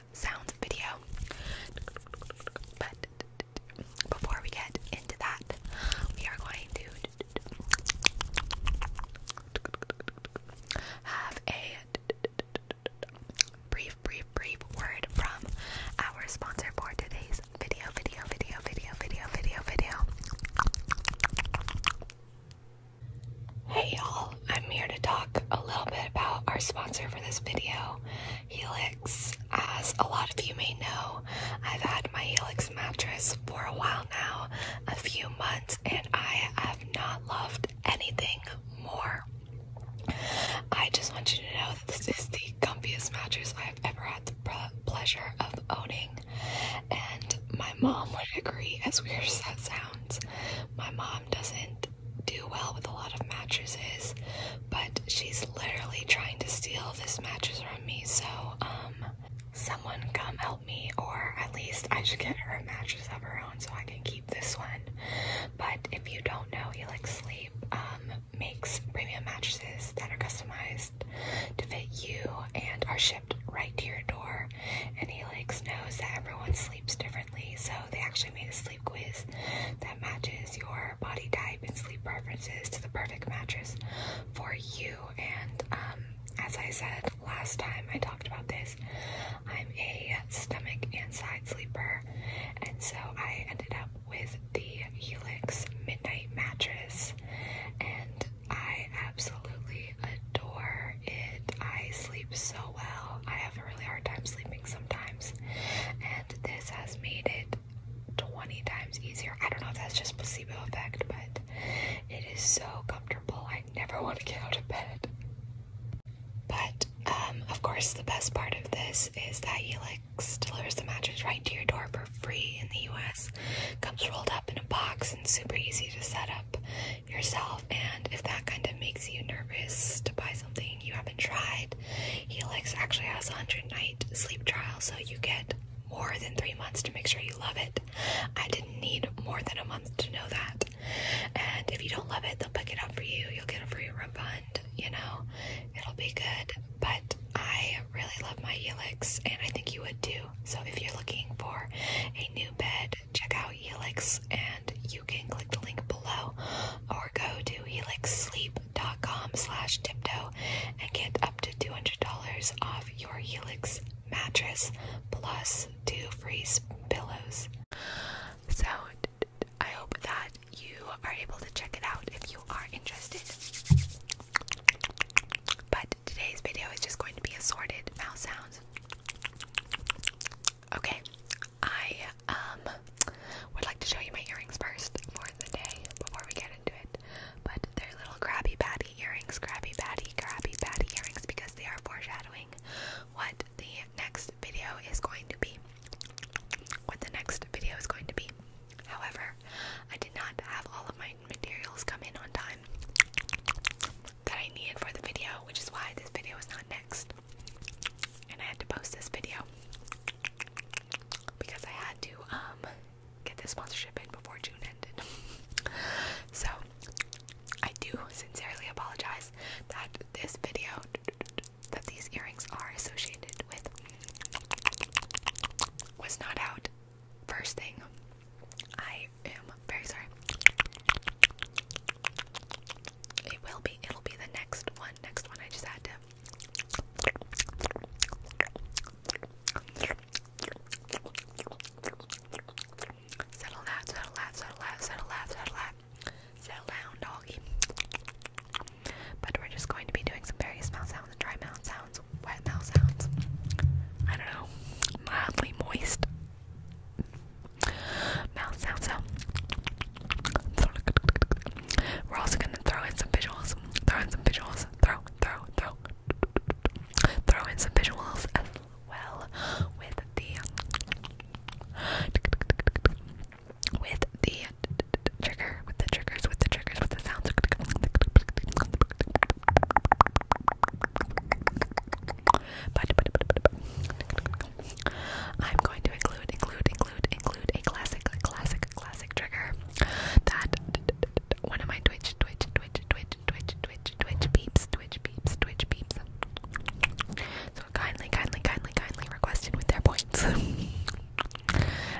mouth sounds video. But before we get into that, we are going to have a brief, brief, brief word from our sponsor for today's video, video, video, video, video, video, video. Hey y'all, I'm here to talk a little bit about our sponsor for this video, Helix. As a lot of you may know, I've had my Helix mattress for a while now, a few months, and I have not loved anything more. I just want you to know that this is the comfiest mattress I've ever had the pleasure of owning, and my mom would agree, as weird as that sounds. My mom doesn't do well with a lot of mattresses, but she's literally trying to steal this mattress from me. So, um, someone come help me, or at least I should get her a mattress of her own so I can keep this one. But if you don't know, Helix Sleep um, makes premium mattresses that are customized to fit you and are shipped right to your door and Helix knows that everyone sleeps differently, so they actually made a sleep quiz that matches your body type and sleep preferences to the perfect mattress for you. And um, as I said last time I talked about this, I'm a stomach and side sleeper, and so I ended up with the Helix Midnight Mattress, and I absolutely adore it. I sleep so well. I have a really hard time sleeping sometimes, and this has made it 20 times easier. I don't know if that's just placebo effect, but it is so comfortable. I never want to get out of bed. But um, of course, the best part of this is that Helix delivers the mattress right to your door for free in the US. Comes rolled up in a box and super easy to set up yourself and if that kind of makes you nervous to buy something you haven't tried helix actually has a 100 night sleep trial so you get more than three months to make sure you love it i didn't need more than a month to know that and if you don't love it they'll pick it up for you you'll get a free refund you know it'll be good but i really love my helix and i think you would too so if you're looking for a new bed check out Helix, and you can click the link below or go to helixsleep.com slash tiptoe and get up to $200 off your Helix mattress plus two free pillows. So I hope that you are able to check it out if you are interested. But today's video is just going to be assorted mouse sounds. Okay, I um would like to show you my earrings first for the day before we get into it. But they're little grabby patty earrings, grabby patty, grabby patty earrings because they are foreshadowing what the next video is going to be. What the next video is going to be. However, I did not have all of my materials come in on time that I needed for the video, which is why this video is not next. And I had to post this video because I had to um get this sponsorship in before June ended. so I do sincerely apologize that this video that these earrings are associated with was not out first thing. I I am very sorry. It will be. It'll be the next one. Next one. I just had to. Settle that, settle that, settle that, settle that, settle that. Settle down, doggy. But we're just going to be doing some various mouth sounds, dry mouth sounds, wet mouth sounds. I don't know, mildly moist mouth sound We're also gonna throw in some visuals. Throw in some visuals. Throw, throw, throw. Throw in some visuals as well with the with the trigger, with the triggers, with the triggers, with the sounds. But, but, but, I'm going to include, include, include, include a classic, classic, classic trigger that one of my Twitch, Twitch, Twitch, Twitch, Twitch, Twitch, Twitch peeps, Twitch peeps, Twitch peeps. So kindly, kindly, kindly, kindly requested with their points. and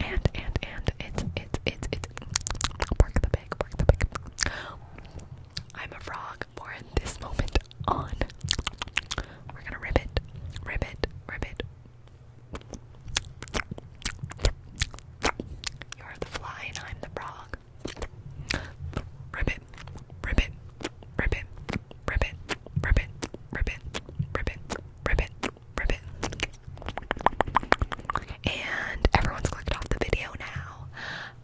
and and it's it's it's it's bark the pig, bark the pig. I'm a frog for this moment on. We're gonna rip it, rip it, rip it. You're the fly and I'm the frog. Rip it, rip it, rip it, rip it, rip it, rip it, rip it, rip it, rip it. And everyone's clicked off the video now.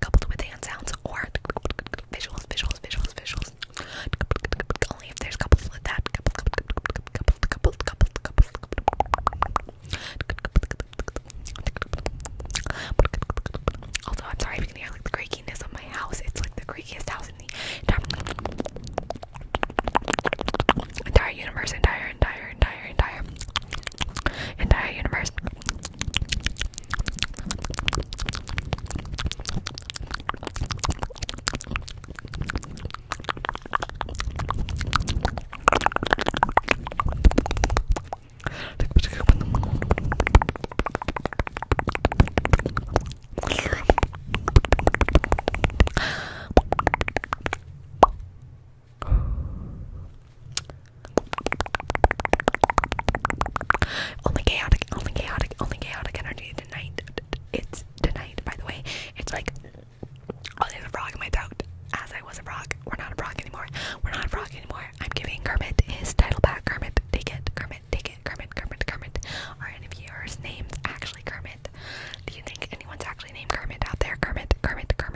coupled with hand sounds or visuals, visuals, visuals, visuals. Only if there's coupled with that. Coupled, I'm sorry if you can hear like the creakiness of my house. It's like the creakiest house in the entire universe, entire, entire, entire, entire, entire, universe. Only chaotic, only chaotic, only chaotic energy tonight. It's tonight, by the way. It's like, oh, there's a frog in my throat. As I was a frog. We're not a frog anymore. We're not a frog anymore. I'm giving Kermit his title back. Kermit, take it. Kermit, take it. Kermit, Kermit, Kermit. Are any of yours names actually Kermit? Do you think anyone's actually named Kermit out there? Kermit, Kermit, Kermit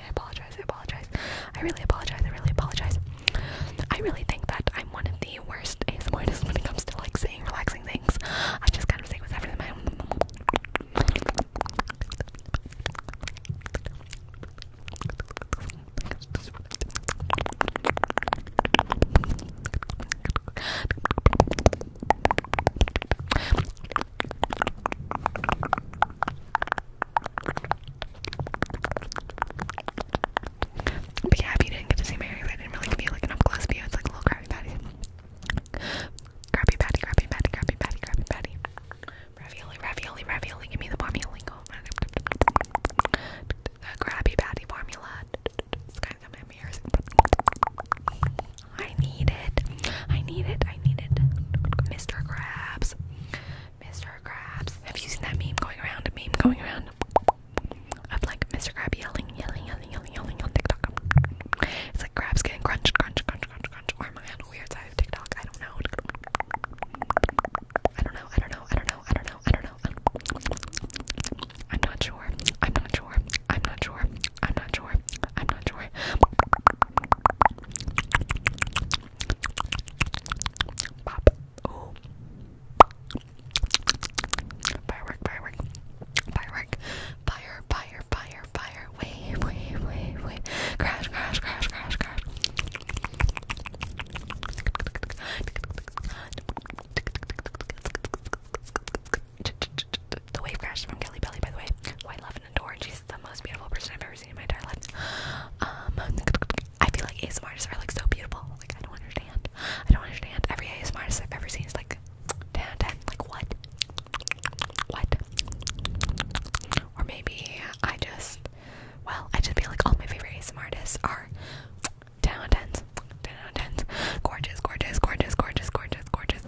I apologize. I apologize. I really apologize. I really apologize. I really think that I'm one of the worst ASMRists when it comes to like saying relaxing things. I just kind of say whatever in but yeah, you didn't get to see my hair, I didn't really give you like an up-close view. It's like a little Krabby Patty. Krabby Patty, Krabby Patty, Krabby Patty, Ravioli, ravioli, ravioli. Give me the formula. The Krabby Patty formula. It's kind of my ears. I need it. I need it. I need it. Mr. Krabs. Mr. Krabs. Have you seen that meme going around? A meme going around of like Mr. Krabs yelling, yelling, yelling, yelling, yelling on TikTok. It's like Krabs getting crunched, crunch, crunch, crunch, crunch. Or am I on weird side TikTok? I don't know. I don't know. I don't know. I don't know. I don't know. I'm not sure. I'm not sure. I'm not sure. I'm not sure. I'm not sure. Pop. Oh. Firework, firework, firework, fire, fire, fire, fire, wave, wave, wave, wave, crash, crash, crash, crash, crash. The wave crashed from Kelly Belly, by the way, who I love and adore. She's is the most beautiful person I've ever seen in my entire life. Um, I feel like ASMR artists are like so beautiful. Like I don't understand. I don't understand. Every ASMR artist I've ever seen is like 10 out of 10. Like what? What? Or maybe I just, well, I just feel like all my favorite ASMR artists are 10 out of 10s. 10 out of 10s. Gorgeous, gorgeous, gorgeous, gorgeous, gorgeous, gorgeous.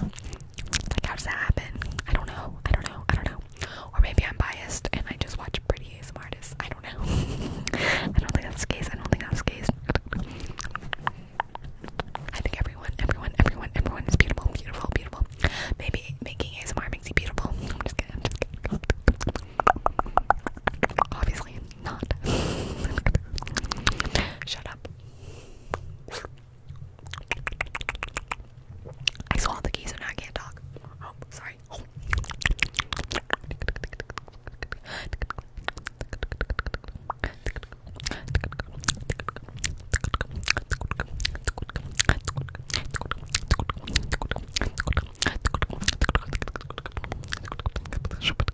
Like how does that happen? I don't know. I don't know. I don't know. Or maybe I'm biased and I just watch pretty ASMR artists. I don't know. I don't think that's the case. I don't think that's the case. I think everyone, everyone, everyone, everyone is beautiful, beautiful, beautiful. Maybe making ASMR makes you beautiful. I'm just kidding. I'm just kidding. Obviously not. Shut up. I swallowed the key, so now I can't talk. Oh, sorry. Oh. Squeak,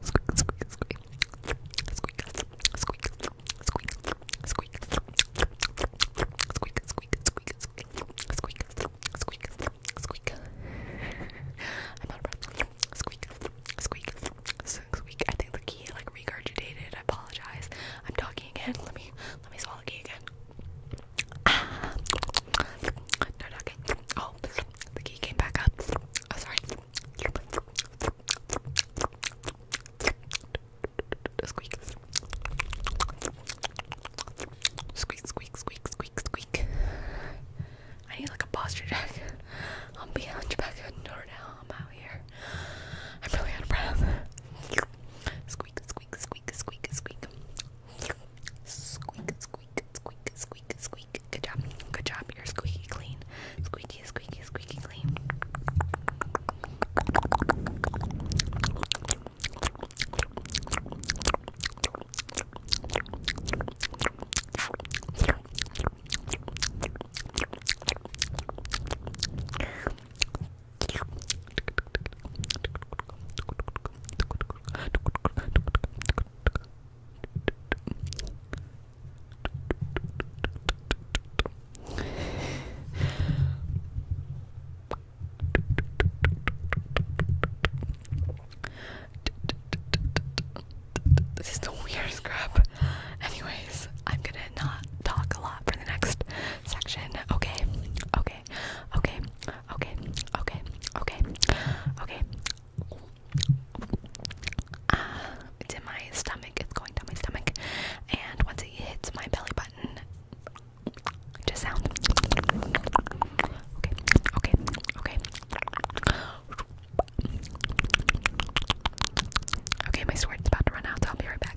squeak, squeak, squeak, squeak, squeak, squeak, squeak, squeak, squeak, squeak, squeak, squeak, squeak, squeak, squeak, squeak, squeak. I'm out of breath. Squeak, squeak, squeak. I think the key like regurgitated. I apologize. I'm talking again. Let me let me swallow the key again. Ah. No, not okay. Oh, the key came back up. Oh, sorry. Squeak. Squeak, squeak, squeak, squeak, squeak. I need like a posture check. I'm being hunchback and door now. I'm out here. I'm really out of breath. Squeak, squeak, squeak, squeak, squeak. Squeak, squeak, squeak, squeak, squeak. Good job. Good job. You're squeaky clean. Squeak, squeaky, squeaky, squeaky clean. This is the weirdest crap. Anyways, I'm gonna not talk a lot for the next section. Okay, okay, okay, okay, okay, okay, okay, okay, Ah, it's in my stomach. It's going down my stomach, and once it hits my belly button, just sounds. Okay, okay, okay. Okay, my sword's about to run out, so I'll be right back.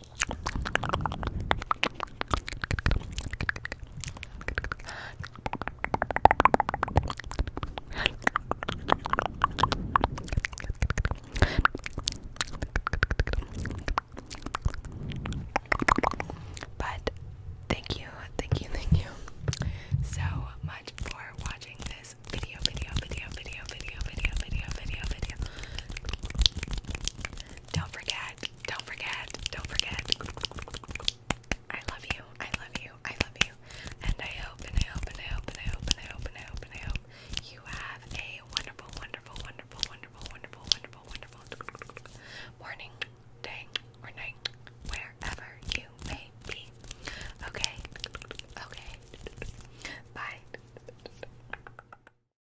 But thank you, thank you, thank you so much for watching this video, video, video, video, video, video, video, video, video. Don't forget don't forget, don't forget. I love you, I love you, I love you. And I hope, and I hope, and I hope, and I hope, and I hope, and I hope, and I hope you have a wonderful, wonderful, wonderful, wonderful, wonderful, wonderful, wonderful morning, day, or night, wherever you may be. Okay, okay. Bye.